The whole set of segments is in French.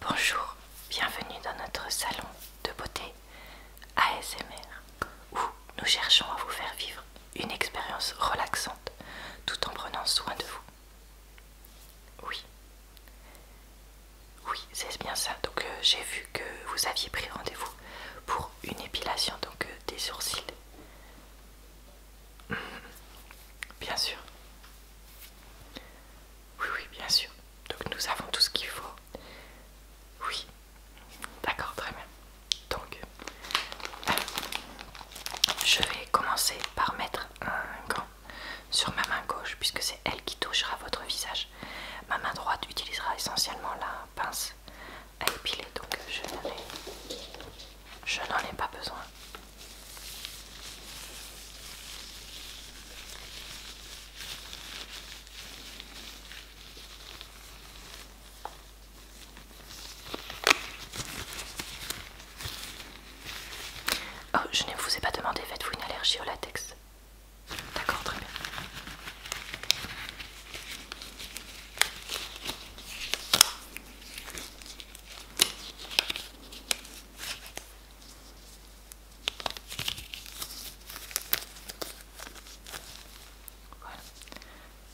Bonjour, bienvenue dans notre salon de beauté ASMR où nous cherchons à vous faire vivre une expérience relaxante tout en prenant soin de vous. Oui, oui, c'est bien ça. Donc euh, j'ai vu que vous aviez pris rendez-vous pour une épilation donc euh, des sourcils. Hmm. Bien sûr, oui, oui, bien sûr. Donc nous avons tout ce qu'il faut. Oui. D'accord, très bien. Donc, euh, je vais commencer par mettre un gant sur ma main gauche puisque c'est elle qui touchera votre visage. Ma main droite utilisera essentiellement la pince à épiler, donc je n'en ai pas besoin. Oh, je ne vous ai pas demandé, faites-vous une allergie au latex D'accord, très bien.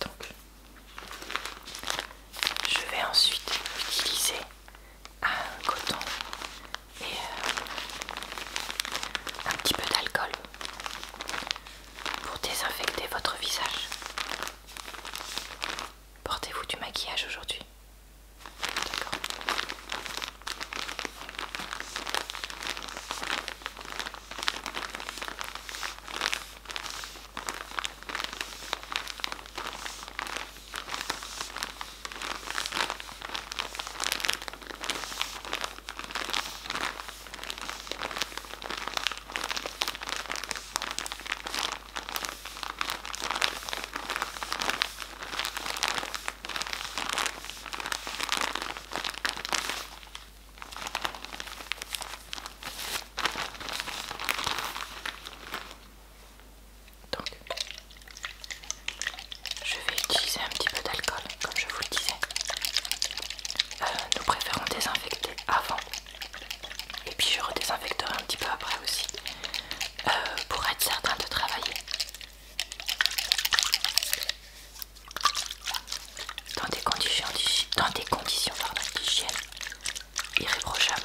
Donc, je vais ensuite utiliser un coton et euh, un petit peu d'alcool pour désinfecter votre visage. Portez-vous du maquillage aujourd'hui donc, je vais utiliser un petit peu d'alcool, comme je vous le disais. Euh, nous préférons désinfecter avant et puis je redésinfecterai un petit peu après aussi euh, pour être certain de travailler dans des conditions dans des conditions d'hygiène irréprochables.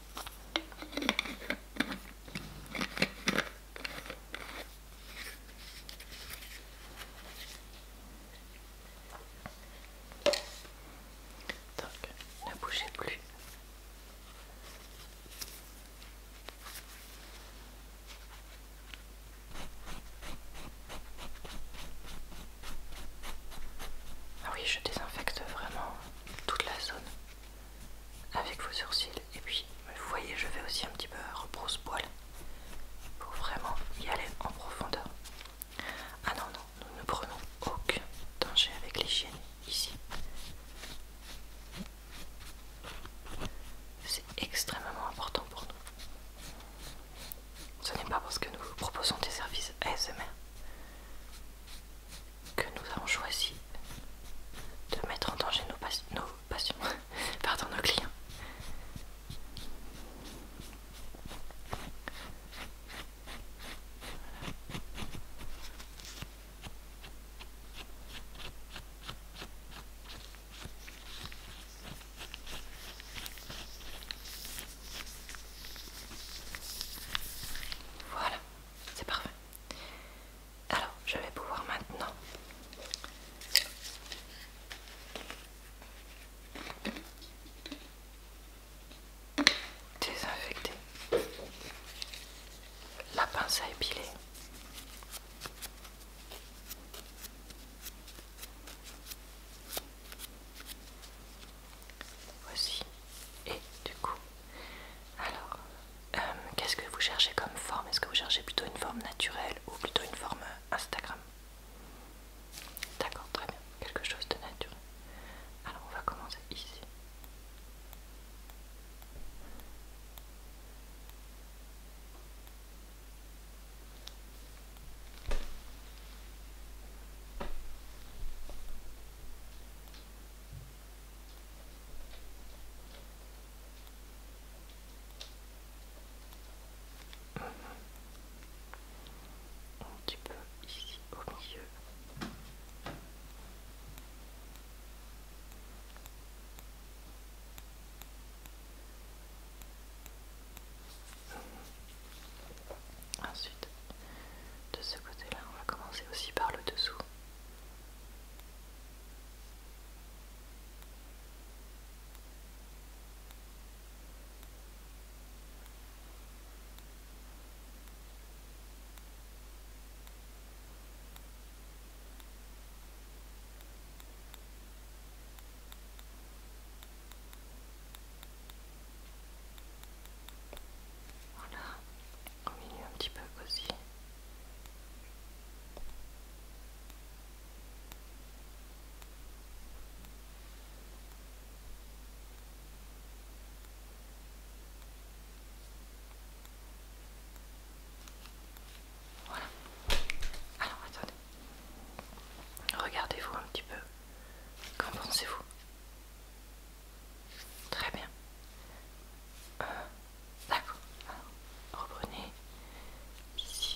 Donc, ne bougez plus. Ah oui, je désinfecte vraiment toute la zone avec vos sourcils. Et puis, vous voyez, je vais aussi un petit peu rebrousse-poil pour vraiment y aller en profondeur. Ah non, non, nous ne prenons aucun danger avec les l'hygiène ici. C'est extrêmement important pour nous. Ce n'est pas parce que nous vous proposons des services ASMR que nous avons choisi de mettre en danger nos, nos passions, pardon, nos clients. Voilà, c'est parfait. Alors, je vais pouvoir maintenant désinfecter la pince à épiler. Voici. Et du coup, alors, euh, qu'est-ce que vous cherchez comme forme Est-ce que vous cherchez plutôt une forme naturelle ou plutôt une forme Instagram D'accord, très bien. Quelque chose de naturel. Alors, on va commencer ici. Un petit peu ici au milieu. Ensuite, de ce côté-là, on va commencer aussi par le dessous. Voilà, au un petit peu aussi. Voilà. Alors attendez. Regardez-vous un petit peu. Qu'en pensez-vous Très bien. Euh, D'accord. Reprenez ici.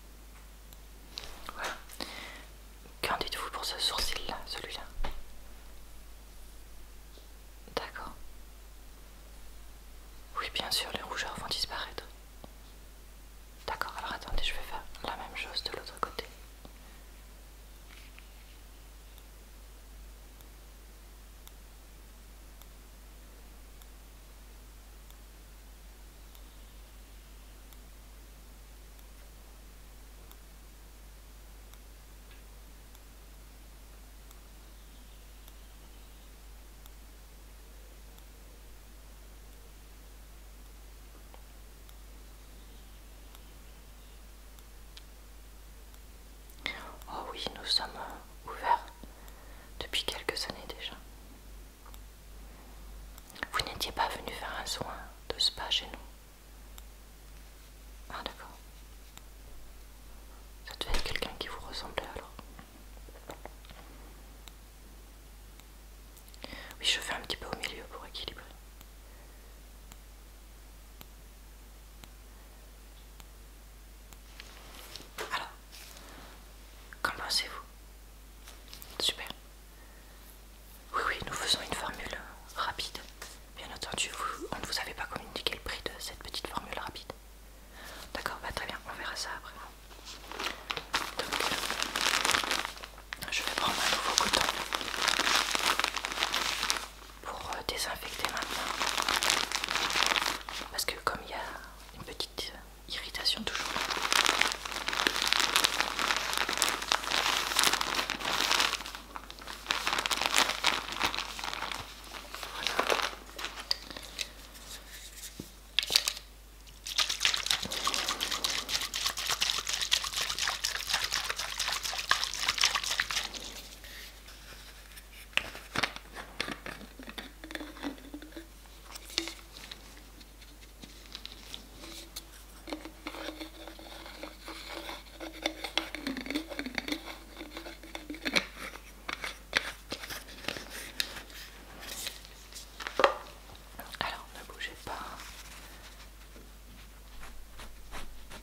Voilà. Qu'en dites-vous pour ce sourcil-là, celui-là D'accord. Oui, bien sûr, les rougeurs vont disparaître. D'accord, alors attendez, je vais faire la même chose de l'autre côté. Oh oui, nous sommes ouverts depuis quelques années déjà. Vous n'étiez pas venu faire un soin de spa chez nous Ah d'accord. Ça devait être quelqu'un qui vous ressemblait alors. Oui, je fais un petit peu au milieu pour équilibrer. Alors, Qu'en pensez-vous Super. Oui, oui, nous faisons une formule rapide. Bien entendu, on ne vous avait pas communiqué le prix de cette petite formule rapide. D'accord, bah très bien, on verra ça après. Donc, je vais prendre un nouveau coton pour euh, désinfecter maintenant. Parce que comme il y a une petite euh, irritation toujours. Alors ne bougez pas.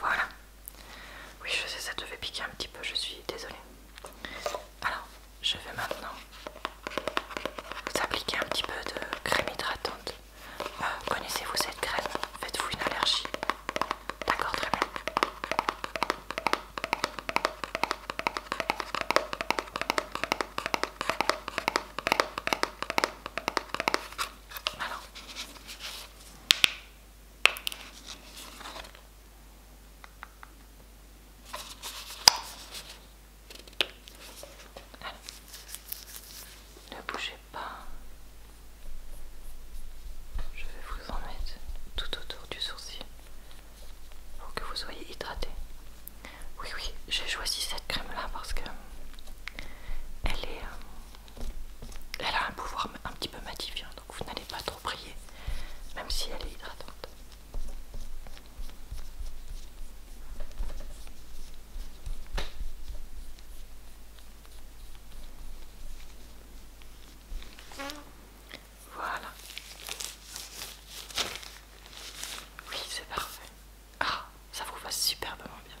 Voilà. Oui, je sais, ça devait piquer un petit peu, je suis désolée. Alors, je vais maintenant vous appliquer un petit peu de crème hydratante. Euh, connaissez-vous cette crème Faites-vous une allergie D'accord, très bien. Ne bougez pas. Je vais vous en mettre tout autour du sourcil pour que vous soyez hydraté. Oui, oui, j'ai choisi cette crème là parce que elle est. Euh, elle a un pouvoir un petit peu matifiant donc vous n'allez pas trop prier même si elle est hydratante. Voilà. Oui, c'est parfait. Ah, ça vous va superbement bien.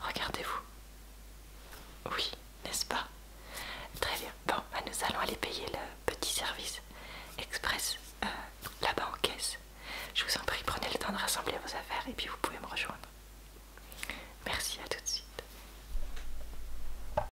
Regardez-vous. Oui, n'est-ce pas Très bien. Bon, bah, nous allons aller payer le petit service express euh, là-bas en caisse. Je vous en prie, prenez le temps de rassembler vos affaires et puis vous pouvez me rejoindre. Merci, à tout de suite.